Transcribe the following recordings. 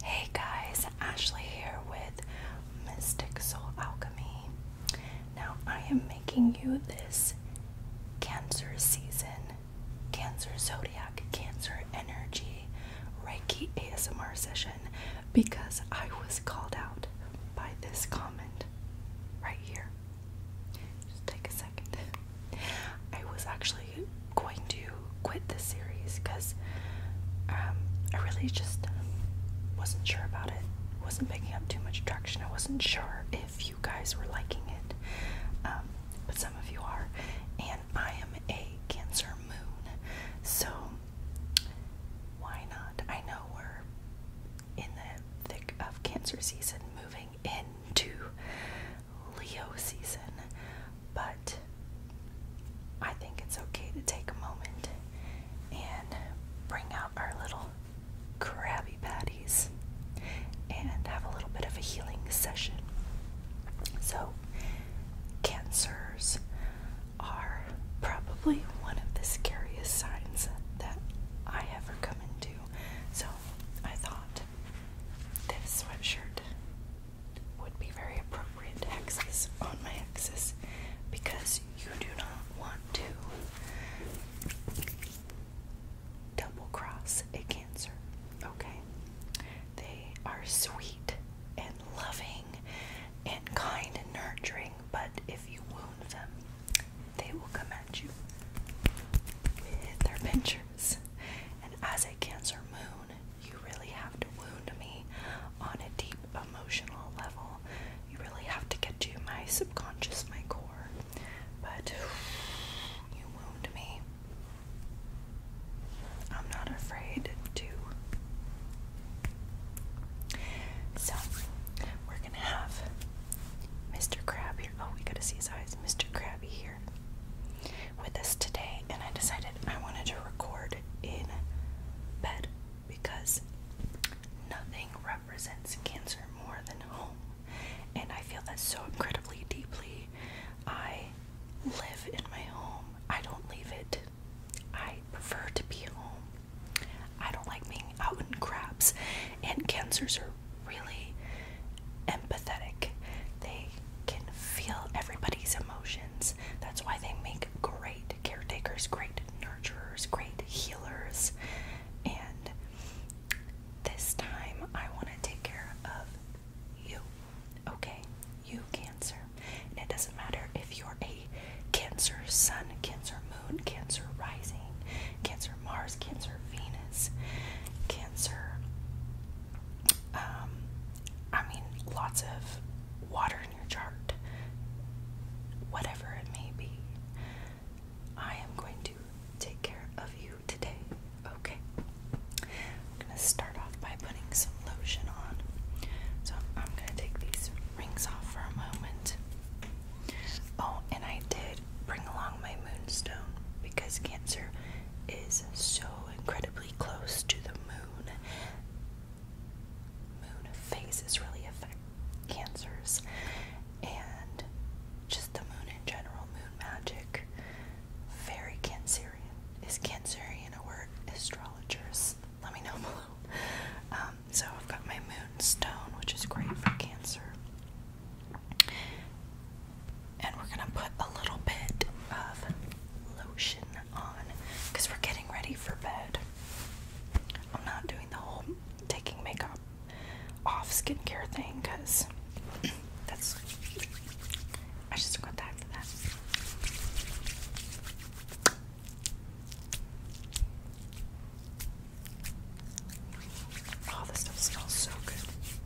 Hey guys, Ashley here with Mystic Soul Alchemy. Now I am making you this Cancer season, Cancer zodiac, Cancer energy Reiki ASMR session because I was called out by this comment right here. Just take a second. I was actually actually going to quit this series because um, I really just wasn't sure about it. Wasn't picking up too much traction. I wasn't sure if you guys were liking it, um, but some of you are. And I am a Cancer Moon, so why not? I know we're in the thick of Cancer season, moving into Leo season, but I think it's okay to take a moment and bring out our little crabby Patties and have a little bit of a healing session. So, cancers are probably one of the scariest signs that I ever come into. So, I thought this sweatshirt would be very appropriate to access on my axis because you do not want to double cross a cancer. Okay? They are sweet and loving and kind and nurturing, but if you wound them, they will come at you with their pinchers. And as a Cancer moon, you really have to wound me on a deep emotional level. You really have to get to my subconscious, my core. But you wound me. I'm not afraid to. So, we're gonna have Mr. Krabby. Oh, we gotta see his eyes. Mr. Krabby with us today, and I decided I wanted to record in bed because nothing represents cancer more than home, and I feel that so incredibly deeply. I live in my home, I don't leave it. I prefer to be home. I don't like being out in craps, and cancers are really empathetic. They can feel everybody's emotions. That's why they make great caretakers, great nurturers, great healers. And this time I want to take care of you. Okay? You, Cancer. And it doesn't matter if you're a Cancer Sun, Cancer Moon, Cancer Rising, Cancer Mars, Cancer Venus, Cancer. Um, I mean, lots of water in your chart, whatever it may be. I am going to take care of you today, okay? I'm gonna start off by putting some lotion on. So I'm gonna take these rings off for a moment. Oh, and I did bring along my moonstone because Cancer is so incredibly close to the moon, moon phases really affect cancers and just the moon in general, moon magic. Very Cancerian. Is Cancerian a word? Astrologers, let me know below. Um, so I've got my moonstone, which is great for Cancer and we're gonna put a little bit of lotion on we're getting ready for bed. I'm not doing the whole taking makeup off skincare thing because that's I just don't got that. Oh, this stuff smells so good.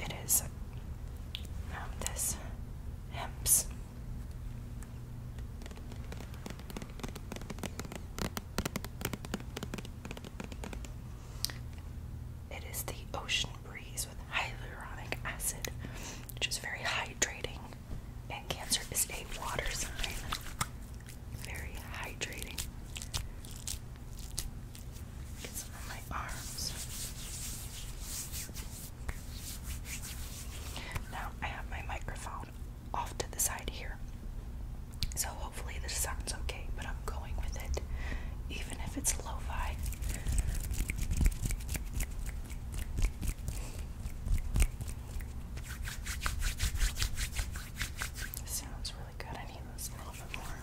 It is um, this hemp's. It is the ocean breeze with hyaluronic acid, which is very hydrating. And Cancer is a water sign. Very hydrating. Now I have my microphone off to the side here. So hopefully this sounds okay, but I'm going with it, even if it's lo-fi. Sounds really good. I need this a little bit more.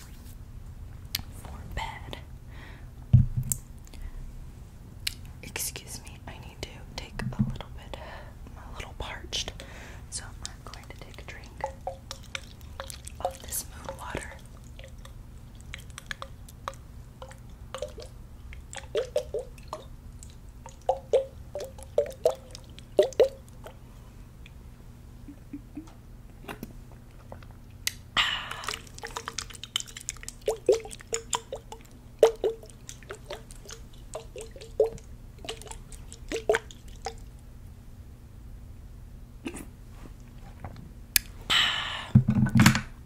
for bed. Excuse me, I need to take a little bit, I'm a little parched, so I'm going to take a drink of this moon water.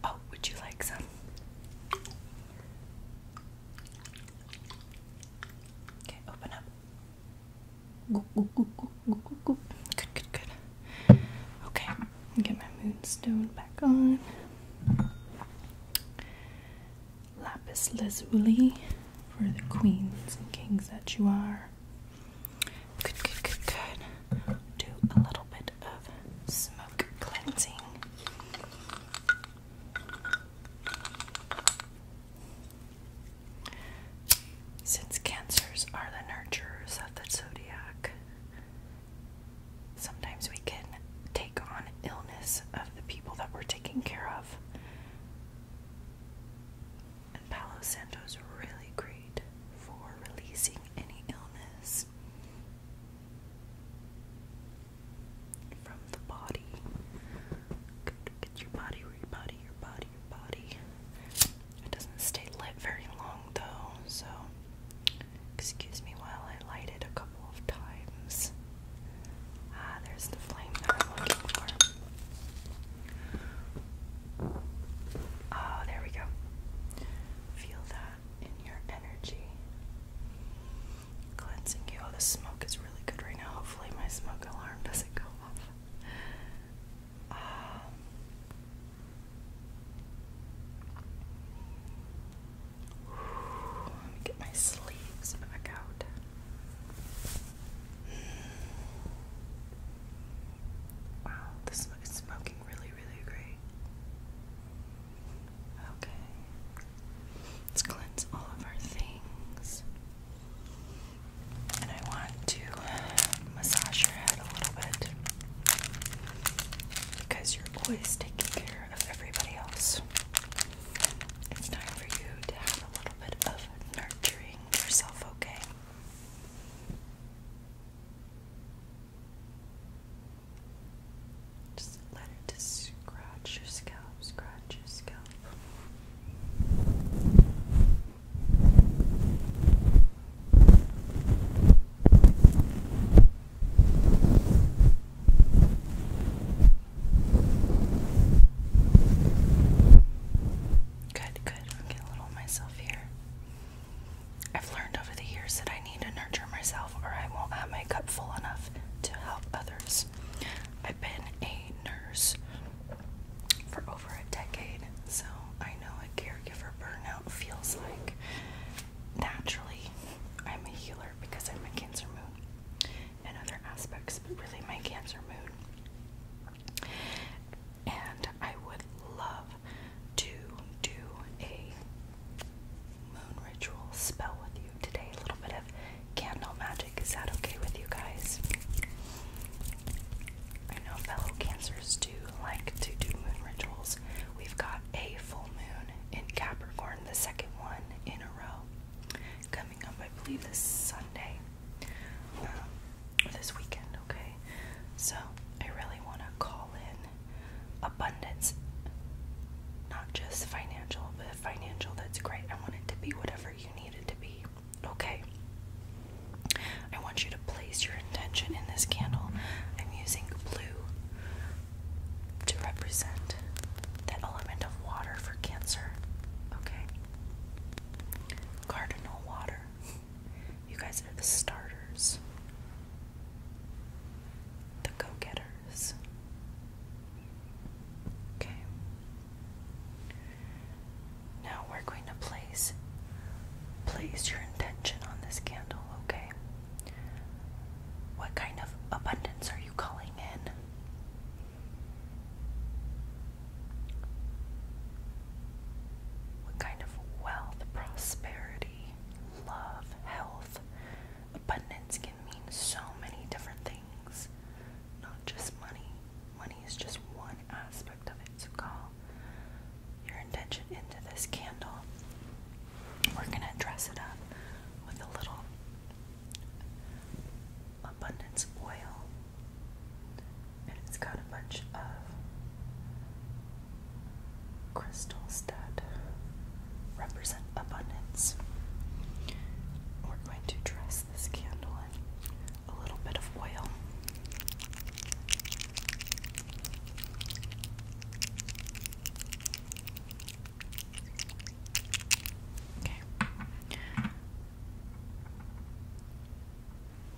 Oh, would you like some? Okay, open up. Good, good, good. Okay, get my moonstone back on. Lapis lazuli for the queens and kings that you are. Good, good, good, good. Do a little bit of smoke cleansing. Since cancers are the nurturers of the zodiac, sometimes we can take on illness of the people that we're taking care of. And Palo Santo's really great for releasing any illness from the body your body, your body, your body, your body. It doesn't stay lit very long though, so excuse me while I light it a couple of times. Ah, there's the flame I'm looking for. Oh, there we go. Feel that in your energy. Cleansing you. Oh, the smoke is really good right now. Hopefully, my smoke alarm doesn't go off let me get my sleeves back out. Wow, this is smoking really, really great. Okay. Let's cleanse all of our things. And I want to massage your head a little bit because you're always taking care of everybody else. It's time for you to have a little bit of nurturing yourself, okay? Just let it scratch your scalp, scratch your scalp. Good, good. i a little myself here. I've learned over the years that I need to nurture myself or I won't have my cup full enough to help others. I've been a nurse for over a decade, so I know what caregiver burnout feels like. Naturally, I'm a healer because I'm a Cancer moon and other aspects, but really my Cancer moon. And I would love to do a moon ritual spell with you today, a little bit of candle magic. Is that okay with you guys? I know fellow cancers do like to do moon rituals. We've got a full moon in Capricorn, the second one in a row, coming up, I believe, this Sunday um, this weekend, okay? So I really want to call in abundance, not just financial, but financial that's great. I want it to be whatever you need it to be. Okay. I want you to place your intention in this candle. I'm using blue to represent that element of water for Cancer. Okay? Cardinal water. You guys are the starters, the go getters. Okay? Now we're going to place place your intention on this candle, okay? What kind of abundance are you calling in? What kind of wealth, prosperity, love, health, abundance can mean so many different things, not just money. Money is just one aspect of it. So call your intention into this candle. We're going to dress it up with a little abundance oil. And it's got a bunch of crystals that represent abundance. We're going to dress this candle a little bit of oil. Okay. I'm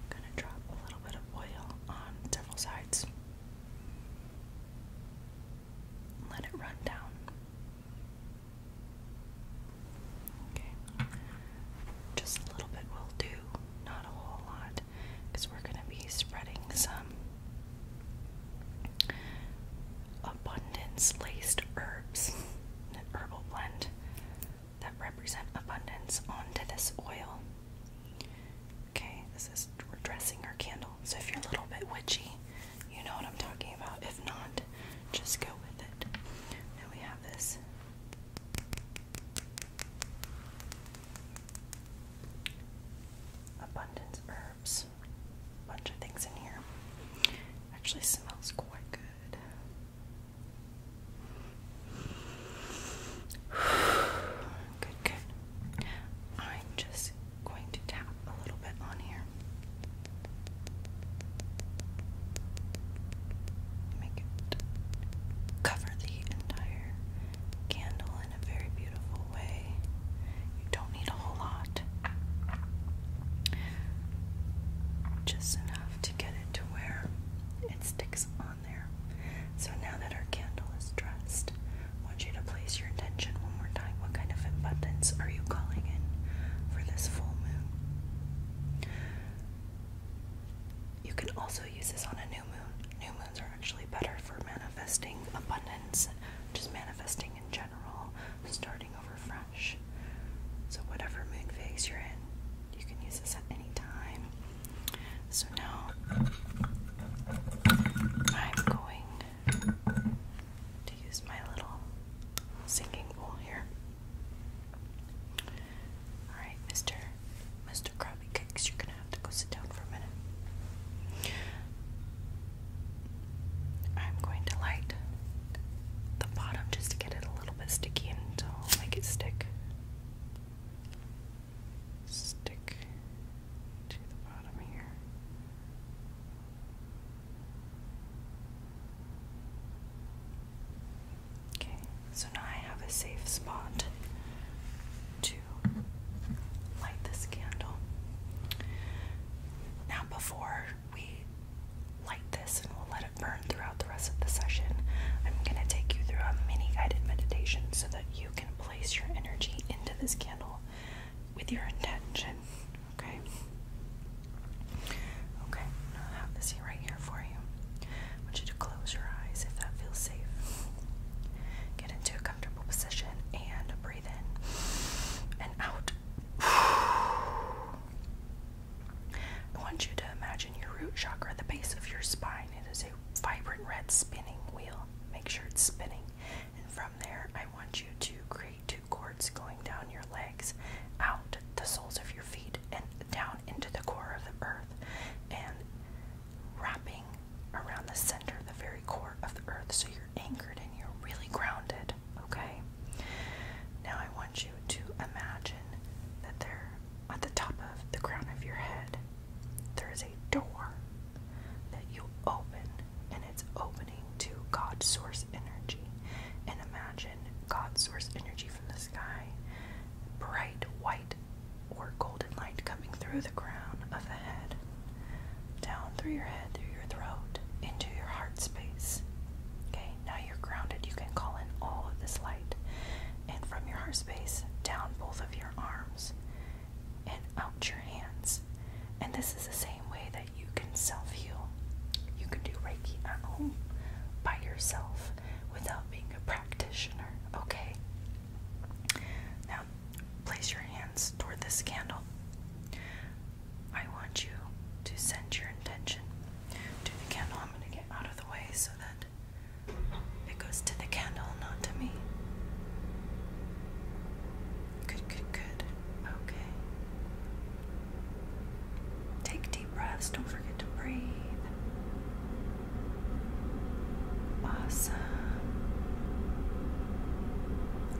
going to drop a little bit of oil on several sides. Let it run down Okay. Just a little bit will do, not a whole lot, because we're going to be spreading some abundance laced herbs, an herbal blend that represent abundance onto this oil. Okay, this is we're dressing our candle. So if you're a little bit witchy, you know what I'm talking about. If not, just go with it. Now we have this abundance herbs, bunch of things in here. Actually smells quite good. Good, good. I'm just going to tap a little bit on here. Make it cover the entire candle in a very beautiful way. You don't need a whole lot. Just enough to get it to where it sticks on there. So now that our candle is dressed, I want you to place your intention one more time. What kind of abundance are you calling in for this full moon? You can also use this on a new moon. New moons are actually better for manifesting abundance, just manifesting in general, starting over fresh. So, whatever moon phase you're in, you can use this at any time. So, now I'm going to use my little singing here. Alright, Mr. Mr. Krabby Cakes, you're gonna have to go sit down for a minute. I'm going to light the bottom just to get it a little bit sticky and to make stick. Stick to the bottom here. Okay, so now I have a safe spot to light this candle. Now, before we light this and we'll let it burn throughout the rest of the session, I'm going to take you through a mini guided meditation so that you can place your energy into this candle with your intention. Okay. Okay, I have this here right here for you. want you to close your eyes if that feels safe. Get into a comfortable position and breathe in and out. I want you to imagine your root chakra, the base of your spine. It is a vibrant red spinning wheel. Make sure it's spinning. And from there, I want you to create cords going down your legs, out the soles of your feet, and down into the core of the earth, and wrapping around the center, the very core of the earth, so you're anchored and you're really grounded. Okay? Now I want you to imagine that there, at the top of the crown of your head, there is a door that you open, and it's open to God source energy and imagine God source energy from the sky, bright white or golden light coming through the crown of the head, down through your head, through your throat, into your heart space. Okay, now you're grounded. You can call in all of this light, and from your heart space, down both of your arms and out your hands. And this is the same way that you can self heal. You can do Reiki at home by yourself without being a practitioner, okay? Now, place your hands toward this candle. I want you to send your intention to the candle. I'm going to get out of the way so that it goes to the candle, not to me. Good, good, good. Okay. Take deep breaths. Don't forget to breathe. Awesome.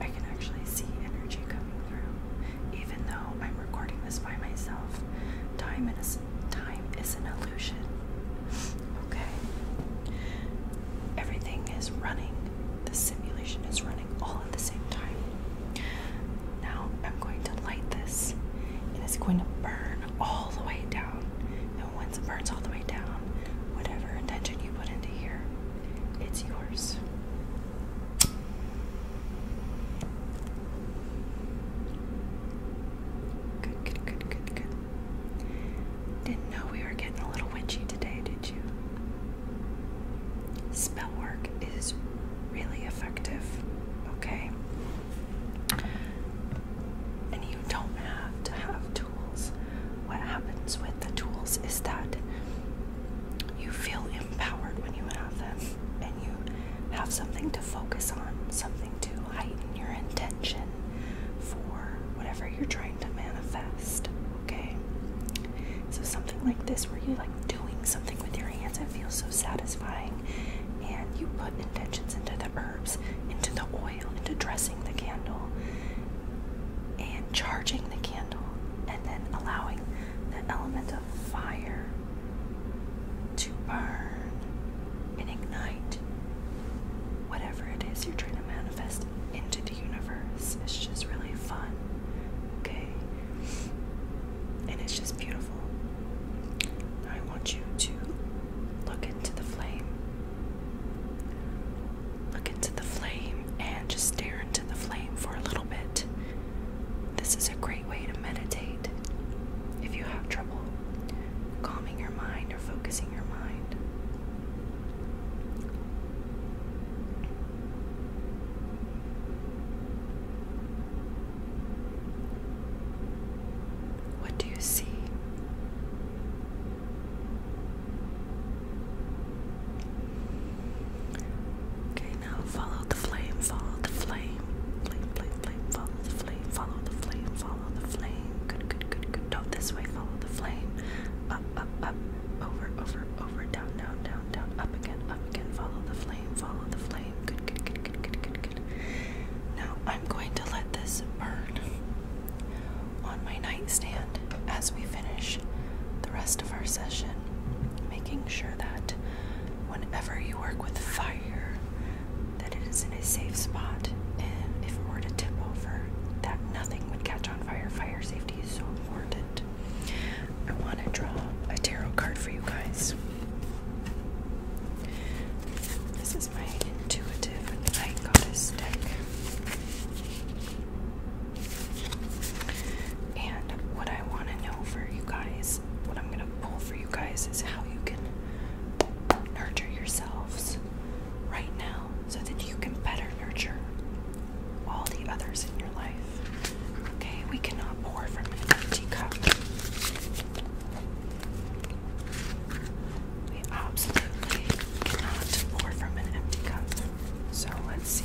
I can actually see energy coming through. Even though I'm recording this by myself, time is, time is an illusion. Okay? Everything is running. The simulation is running all at the same time. Now I'm going to light this and it's going to burn all the way down. And once it burns all the way down, whatever intention you put into here, it's yours. Good, good, good, good, good. Didn't know we were getting a little witchy today, did you? Spell work is really effective, okay? And you don't have to have tools. What happens with the tools is that you feel empowered when you have them and you have something to focus on, something to heighten your intention for whatever you're trying to manifest, okay? So something like this where you like doing something with your hands, it feels so satisfying. And you put intentions into the herbs, into the oil, into dressing the candle, and charging the candle, and then allowing the element of fire to burn and ignite whatever it is you're trying to manifest into the universe. It's just really fun, okay? And it's just beautiful. I want you to look into the flame. Look into the flame and just stare into the flame for a little bit. This is a great way to meditate if you have trouble calming your mind or focusing your mind. What do you see? Okay, now follow the flame, follow the flame. Flame, flame, flame, follow the flame, follow the flame, follow the flame. Good, good, good, Don't this way, follow the flame. Up, up, up, over, over, over, down, down, down, down, up again, up again. Follow the flame, follow the flame. Good, good, good, good, good, good, good. Now I'm going to let this burn on my nightstand as we finish the rest of our session, making sure that whenever you work with fire, that it is in a safe spot, and if it were to tip over, that nothing would catch on fire. Fire safety is so important. I want to draw a tarot card for you guys. This is my intuitive night deck. And what I want to know for you guys, what I'm going to pull for you guys, is how you can nurture yourselves right now so that you can better nurture all the others in your life. Okay, we cannot pour from an empty cup. We absolutely cannot pour from an empty cup. So let's see.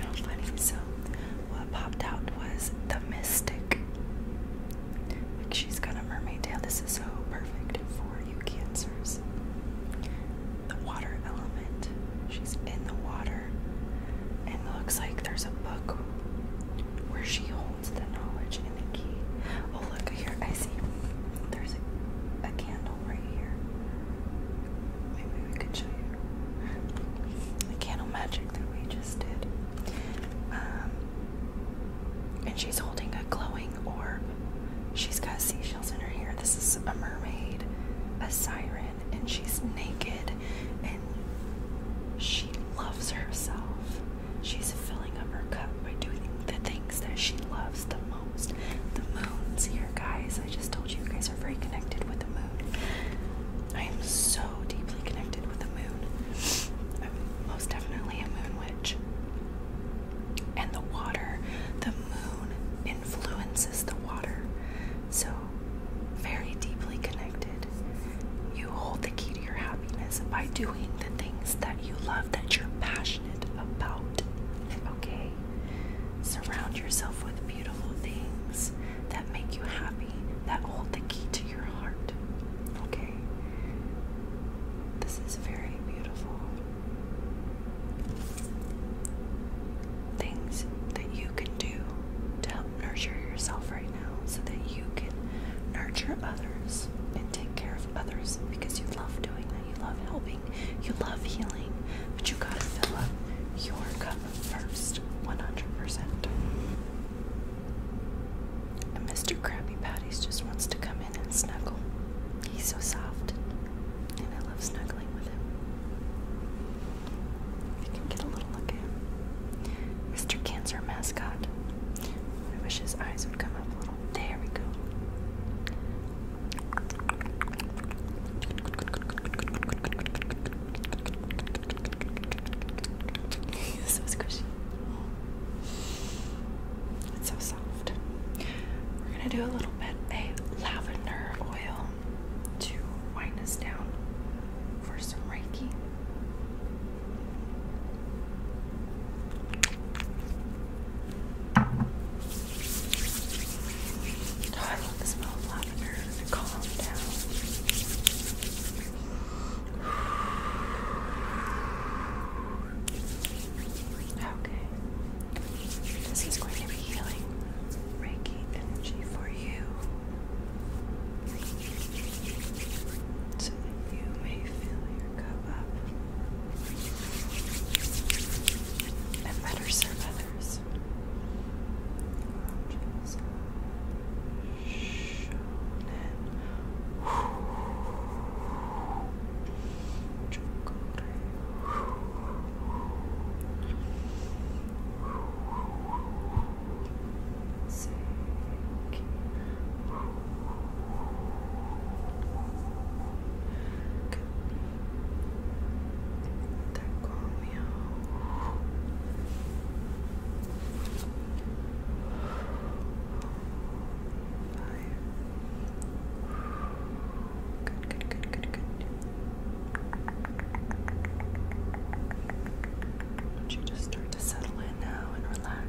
How funny. So, what popped out was the Mystic. Like she's got a mermaid tail. This is so perfect for you, Cancers. The water element. She's in the water. And looks like there's a book where she it's the knowledge and the key. Oh, look here. I see. There's a, a candle right here. Maybe we could show you the candle magic that we just did. Um, and she's holding a glowing orb. She's got seashells in her hair. This is a mermaid, a siren, and she's naked and she loves herself. She's filling up her cup by doing the things that she loves the most. The moon's here, guys. I just told you, guys are very connected with the moon. I am so deeply connected with the moon. I'm most definitely a moon witch. And the water, the moon influences the water. So, very deeply connected. You hold the key to your house by doing the things that you love, that you're passionate about. Okay? Surround yourself with beautiful things that make you happy, that hold the key to your heart. Okay? This is very beautiful. Things that you can do to help nurture yourself right now so that you can nurture others and take care of others because you love doing that. You love helping. You love healing. But you gotta fill up your cup first, 100%. Mr. Krabby Patties just wants to come in and snuggle. He's so soft, and I love snuggling with him. If can get a little look at him. Mr. Cancer Mascot, I wish his eyes would come up a little. There we go. so squishy. It's so soft. We're gonna do a little bit of lavender oil to wind us down for some Reiki. Oh, I love the smell of lavender. It calms down. Okay. This is going to be healing Reiki energy for you so that you may fill your cup up and better serve others. Conscious. Shonen sake. Good, good, good, good, good. don't you just start to settle in now and relax?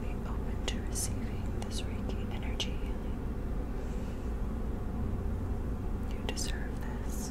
Be open to receiving this Reiki energy You deserve this.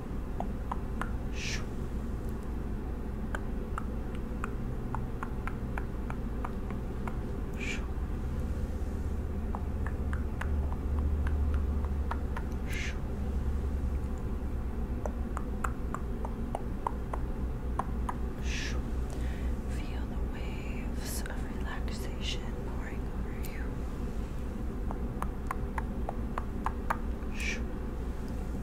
Feel the waves of relaxation pouring over you. Shoo.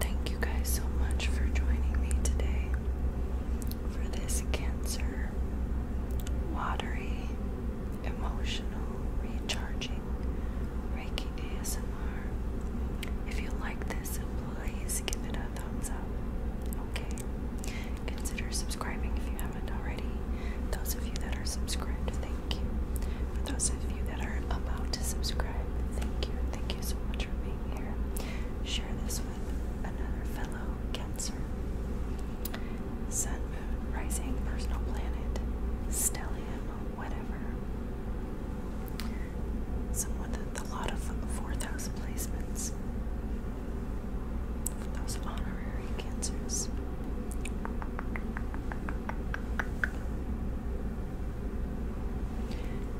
Thank you guys so much for joining me today for this cancer watery, emotional, recharging Reiki ASMR. If you like this, please give it a thumbs up. Okay. Consider subscribing if you haven't already. Those of you that are subscribed, thank you. For those of you that are about to subscribe, thank you. Thank you so much for being here. Share this with another fellow Cancer. Sun, Moon, Rising, Personal Planet, Stellium, whatever. Someone with a lot of 4,000 placements. those honorary Cancers.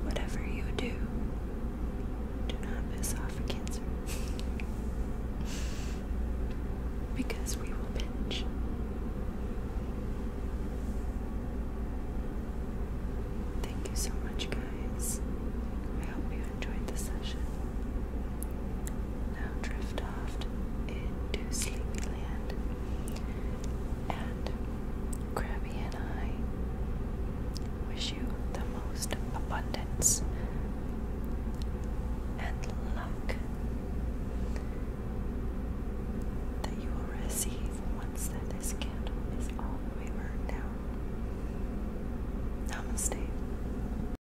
Whatever you do, do not piss off a cancer. because we will pinch. Thank you so much, guys. I hope you enjoyed the session. Now drift off into Sleepyland. And Krabby and I wish you the most abundance and luck that you will receive once that this candle is all the burned down. Namaste.